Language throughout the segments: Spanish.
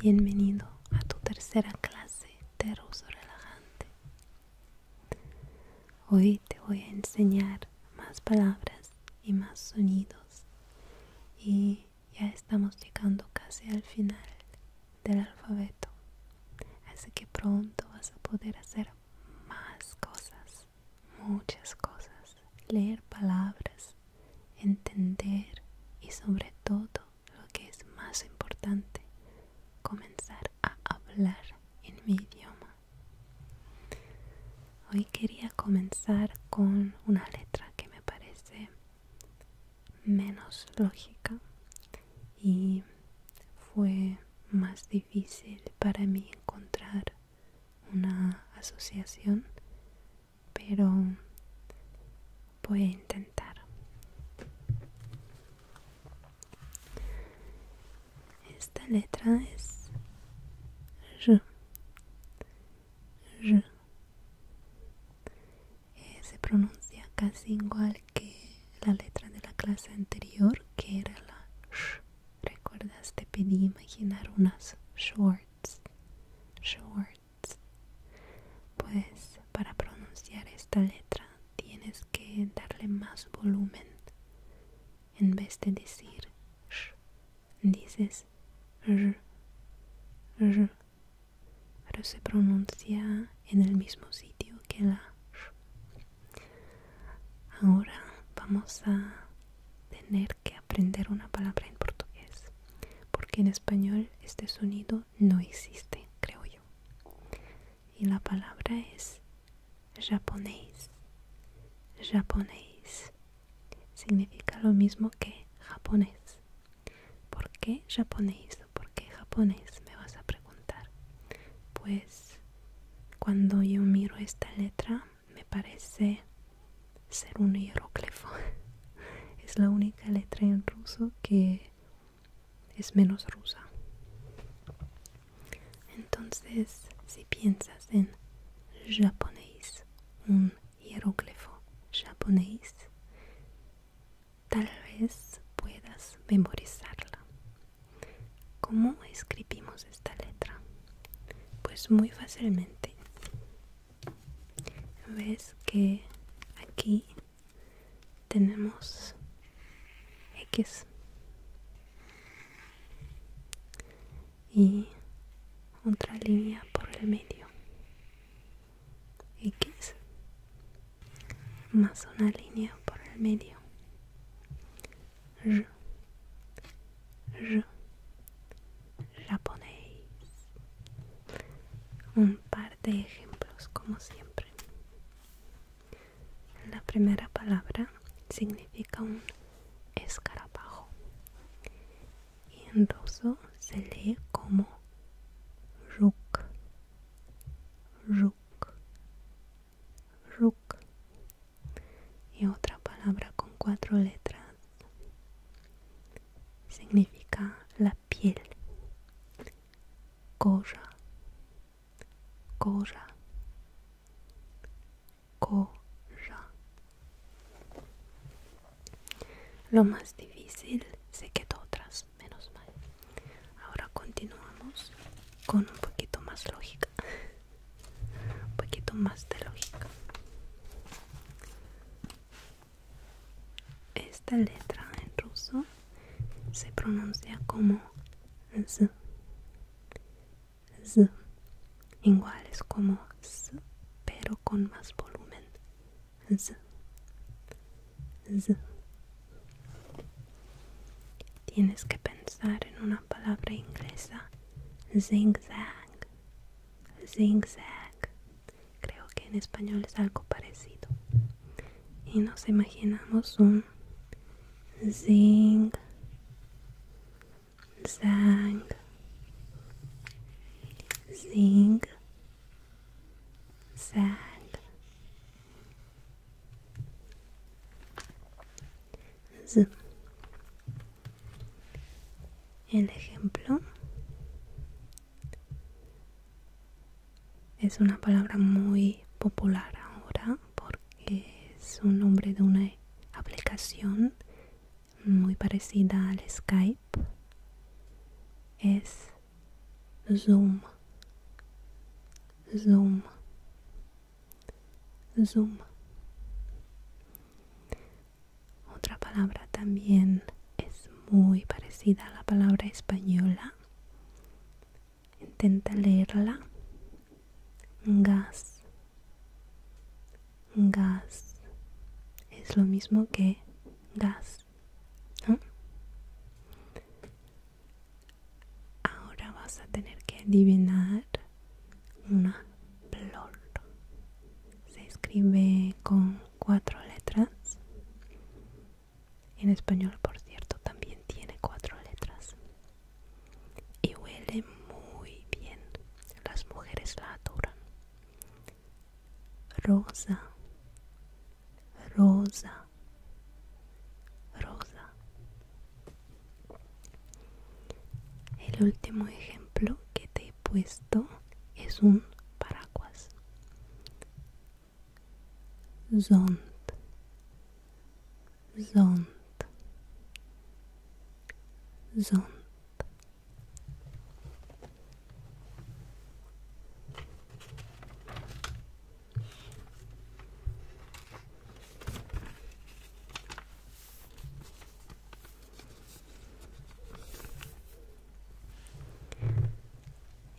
Bienvenido a tu tercera clase de ruso relajante. Hoy te voy a enseñar más palabras y más sonidos. Y ya estamos llegando casi al final del alfabeto. Así que pronto vas a poder hacer más cosas, muchas cosas, leer palabras, entender y sobre todo lo que es más importante, comenzar a hablar en mi idioma. Hoy quería comenzar con una letra que me parece menos lógica y fue más difícil difícil para mí encontrar una asociación, pero voy a intentar. Esta letra es R. Eh, se pronuncia casi igual que la letra de la clase anterior que era la sh. ¿Recuerdas? Te pedí imaginar unas shorts. Shorts. Pues para pronunciar esta letra tienes que darle más volumen. En vez de decir sh, dices r. r. Pero se pronuncia en el mismo sitio que la sh. Ahora vamos a tener que aprender una palabra en portugués, porque en español este sonido no existe, creo yo. Y la palabra es japonés. Japonés significa lo mismo que japonés. ¿Por qué japonés? ¿Por qué japonés? Me vas a preguntar. Pues cuando yo miro esta letra me parece ser un hieróclefo Es la única letra en ruso que es menos rusa. Entonces, si piensas en japonés, un hieróclefo japonés, tal vez puedas memorizarla ¿Cómo escribimos esta letra? Pues muy fácilmente. Ves que aquí tenemos X y otra línea por el medio. X más una línea por el medio japonés. Un par de ejemplos como siempre. La primera palabra significa un escarabajo y en ruso se lee como ruk, ruk, RUK y otra palabra con cuatro letras significa la piel Koya, Koya, Koya. Lo más difícil se quedó atrás, menos mal. Ahora continuamos con un poquito más lógica un poquito más de lógica esta letra en ruso se pronuncia como z z igual es como s pero con más volumen z z tienes que pensar en una palabra inglesa, zigzag, zigzag. Creo que en español es algo parecido. Y nos imaginamos un zing, zang, zing, zag, el ejemplo es una palabra muy popular ahora porque es un nombre de una aplicación muy parecida al Skype. Es Zoom. Zoom. Zoom. Otra palabra también es muy parecida a la palabra española. Intenta leerla. Gas. Gas. Es lo mismo que gas. Ahora vas a tener que adivinar una flor. Se escribe con cuatro letras. En español, por cierto, también tiene cuatro letras. Y huele muy bien. Las mujeres la adoran. Rosa. Rosa. Rosa. El último ejemplo que te he puesto es un paraguas. Zond.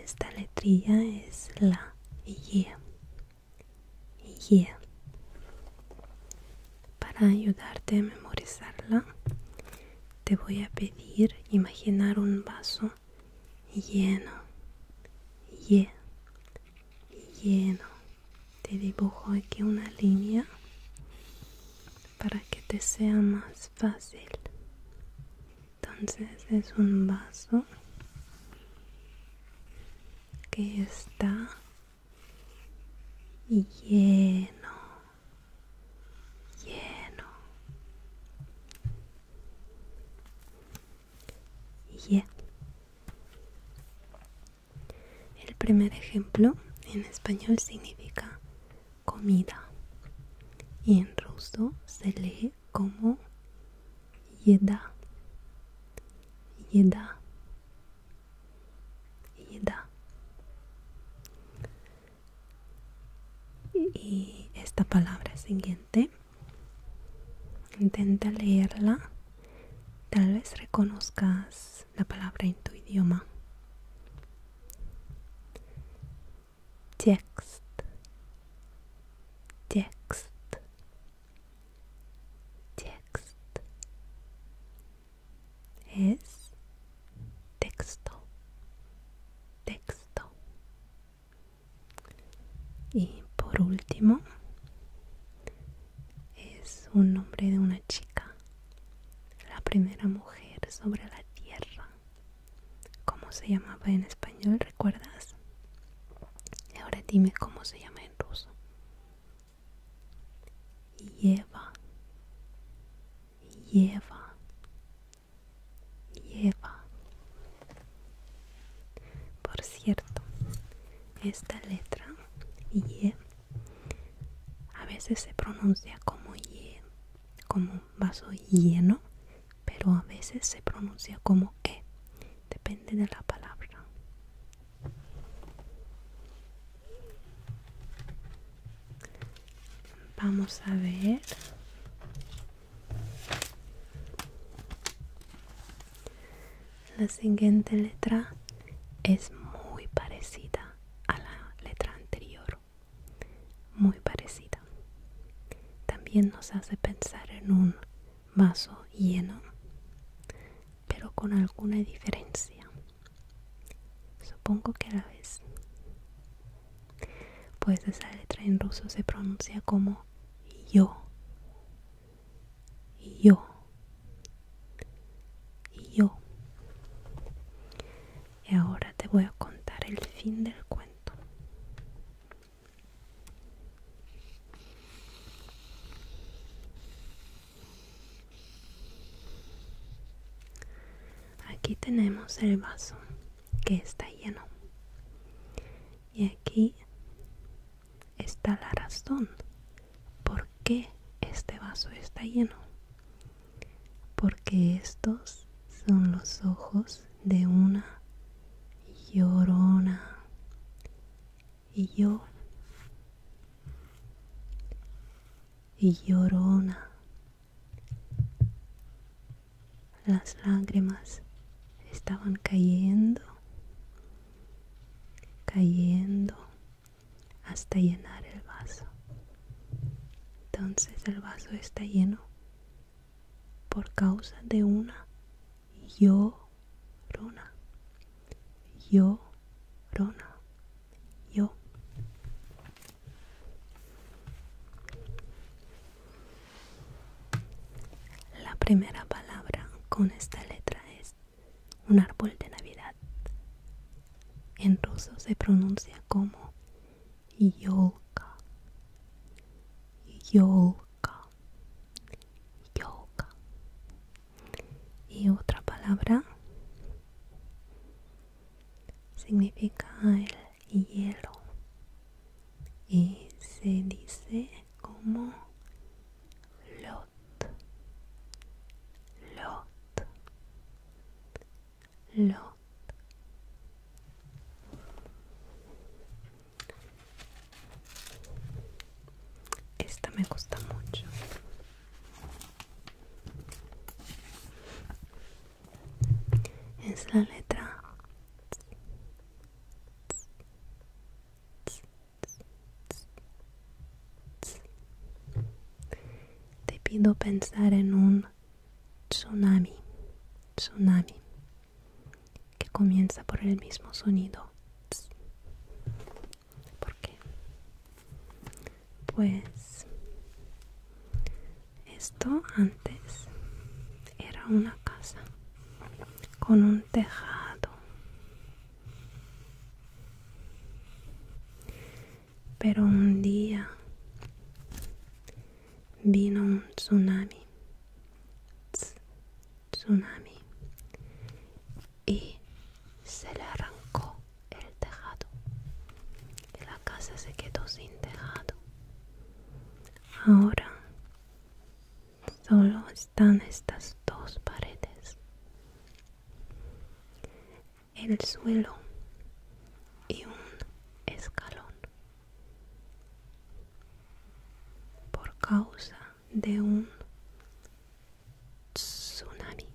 Esta letrilla es la Y. Y. Para ayudarte a memorizarla, te voy a pedir imaginar un vaso lleno. Y. Lleno te dibujo aquí una línea para que te sea más fácil entonces es un vaso que está lleno lleno el primer ejemplo en español significa comida y en ruso se lee como yeda, yeda, yeda. Y esta palabra siguiente, intenta leerla Tal vez reconozcas la palabra en tu idioma. Text. Text. Text. Es texto. Texto. Y por último, es un nombre de una chica, la primera mujer sobre la tierra. como se llamaba en español? ¿Recuerdas? Ahora dime cómo se llama en ruso. Lleva, lleva, lleva. Por cierto, esta letra Y a veces se pronuncia como Y, como vaso lleno, pero a veces se pronuncia como E, depende de la palabra. Vamos a ver la siguiente letra es muy parecida a la letra anterior muy parecida también nos hace pensar en un vaso lleno pero con alguna diferencia supongo que a la vez pues esa letra en ruso se pronuncia como yo y yo y yo y ahora te voy a contar el fin del cuento aquí tenemos el vaso que está lleno y aquí está la razón por qué este vaso está lleno. Porque estos son los ojos de una llorona. Y yo. Y llorona. Las lágrimas estaban cayendo, cayendo hasta llenar el vaso. Entonces el vaso está lleno por causa de una yo yo rona, Yo. La primera palabra con esta letra es un árbol de Navidad. En ruso se pronuncia como yolka. Yolka. Yolka. Y otra palabra significa el hielo. Y se dice como lo lot, lot, Esta me gusta mucho. Es la letra. Te pido pensar en un tsunami, tsunami, que comienza por el mismo sonido. ¿Por qué? Pues esto antes era una casa con un tejado pero un día vino un tsunami. Tsunami. Y se le arrancó el tejado. Y la casa se quedó sin tejado. Ahora solo están estas dos paredes el suelo y un escalón por causa de un tsunami.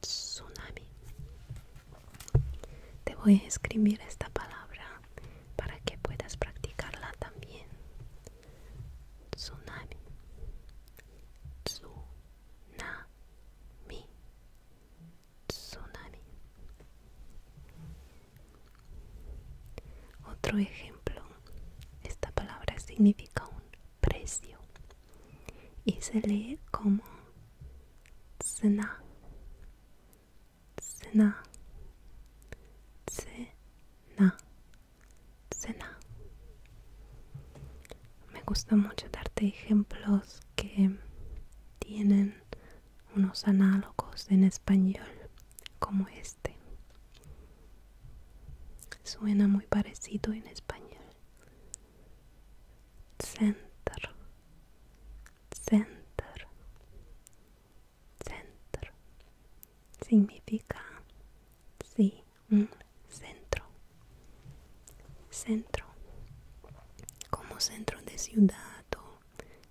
tsunami. Te voy a escribir esta palabra para que puedas practicarla también tsunami tsunami tsunami otro ejemplo esta palabra significa un precio y se lee como cena cena na me gusta mucho darte ejemplos que tienen unos análogos en español como este. Suena muy parecido en español. Center. Center. Center significa sí, un centro. Centro. Como centro de ciudad o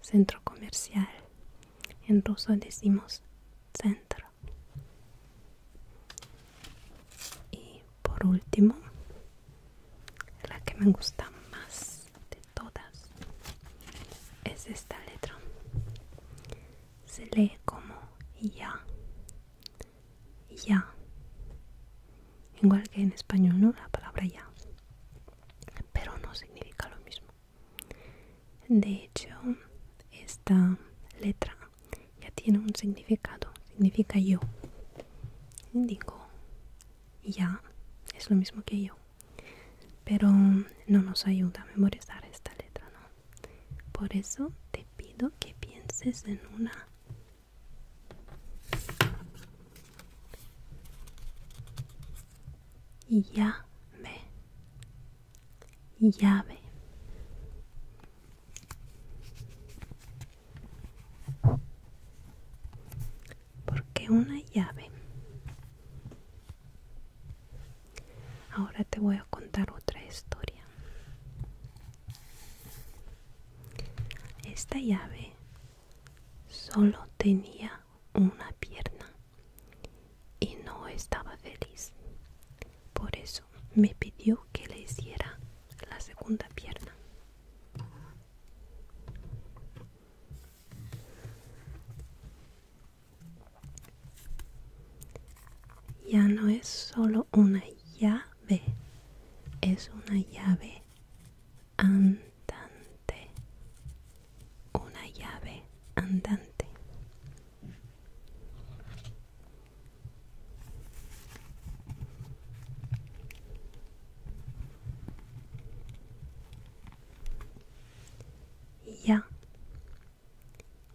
centro comercial. En ruso decimos centro. Y por último, la que me gusta más de todas es esta letra se lee como ya, ya, igual que en español, ¿no? La palabra ya, pero no significa lo mismo. De hecho, esta letra ya tiene un significado, significa yo. Digo, ya es lo mismo que yo, pero no nos ayuda a memorizar esta letra, ¿no? Por eso te pido que pienses en una llave. Llave. Porque una llave Ahora te voy a contar otra historia. Esta llave solo tenía una pierna y no estaba feliz. Por eso me pidió que le hiciera la segunda pierna. Ya no es solo una llave, es una llave andante. Una llave andante. Ya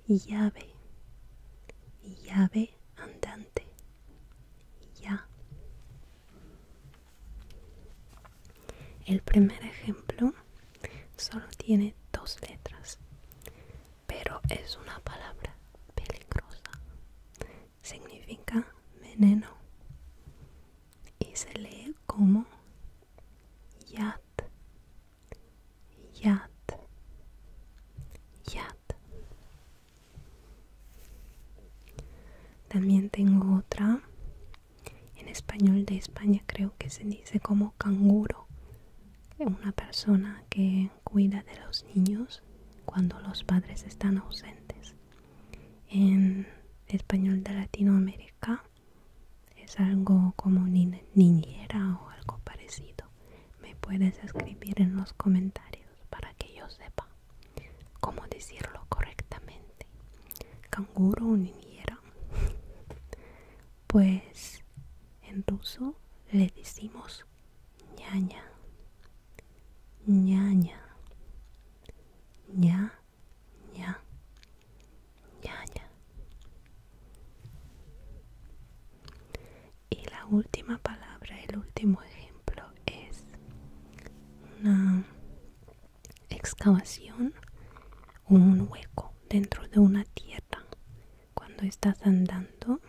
llave, llave andante, ya. El primer ejemplo solo tiene dos letras, pero es una palabra peligrosa. Significa veneno y se lee como yat, Yat. Yat. También tengo otra. En español de España creo que se dice como canguro. Una persona que cuida de los niños cuando los padres están ausentes. En español de Latinoamérica es algo como niñera o algo parecido me puedes escribir en los comentarios para que yo sepa cómo decirlo correctamente. Canguro o Pues en ruso le decimos ñaña, ñaña, ña, ña, ñaña. Y la última palabra, el último ejemplo es una excavación un hueco dentro de una tierra. Cuando estás andando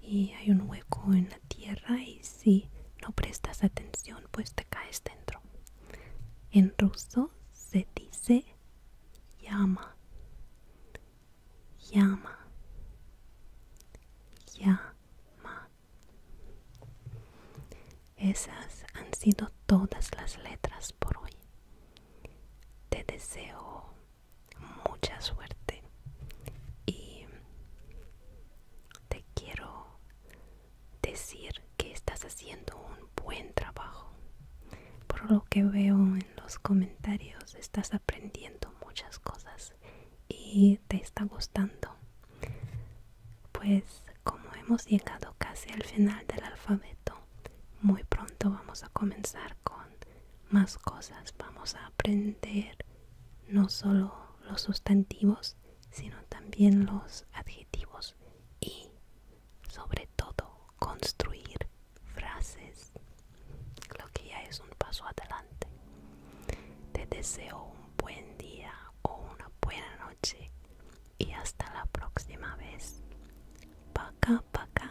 y hay un hueco en la tierra y si no prestas atención pues te caes dentro. En ruso se dice llama llama, llama. Esas han sido todas las letras por hoy. Te deseo mucha suerte y te quiero decir que estás haciendo un buen trabajo. Por lo que veo los comentarios estás aprendiendo muchas cosas y te está gustando. Pues como hemos llegado casi al final del alfabeto, muy pronto vamos a comenzar con más cosas. Vamos a aprender no solo los sustantivos, sino también los adjetivos y sobre todo construir frases, lo que ya es un paso adelante. Te deseo un buen día o una buena noche y hasta la próxima vez. pa paka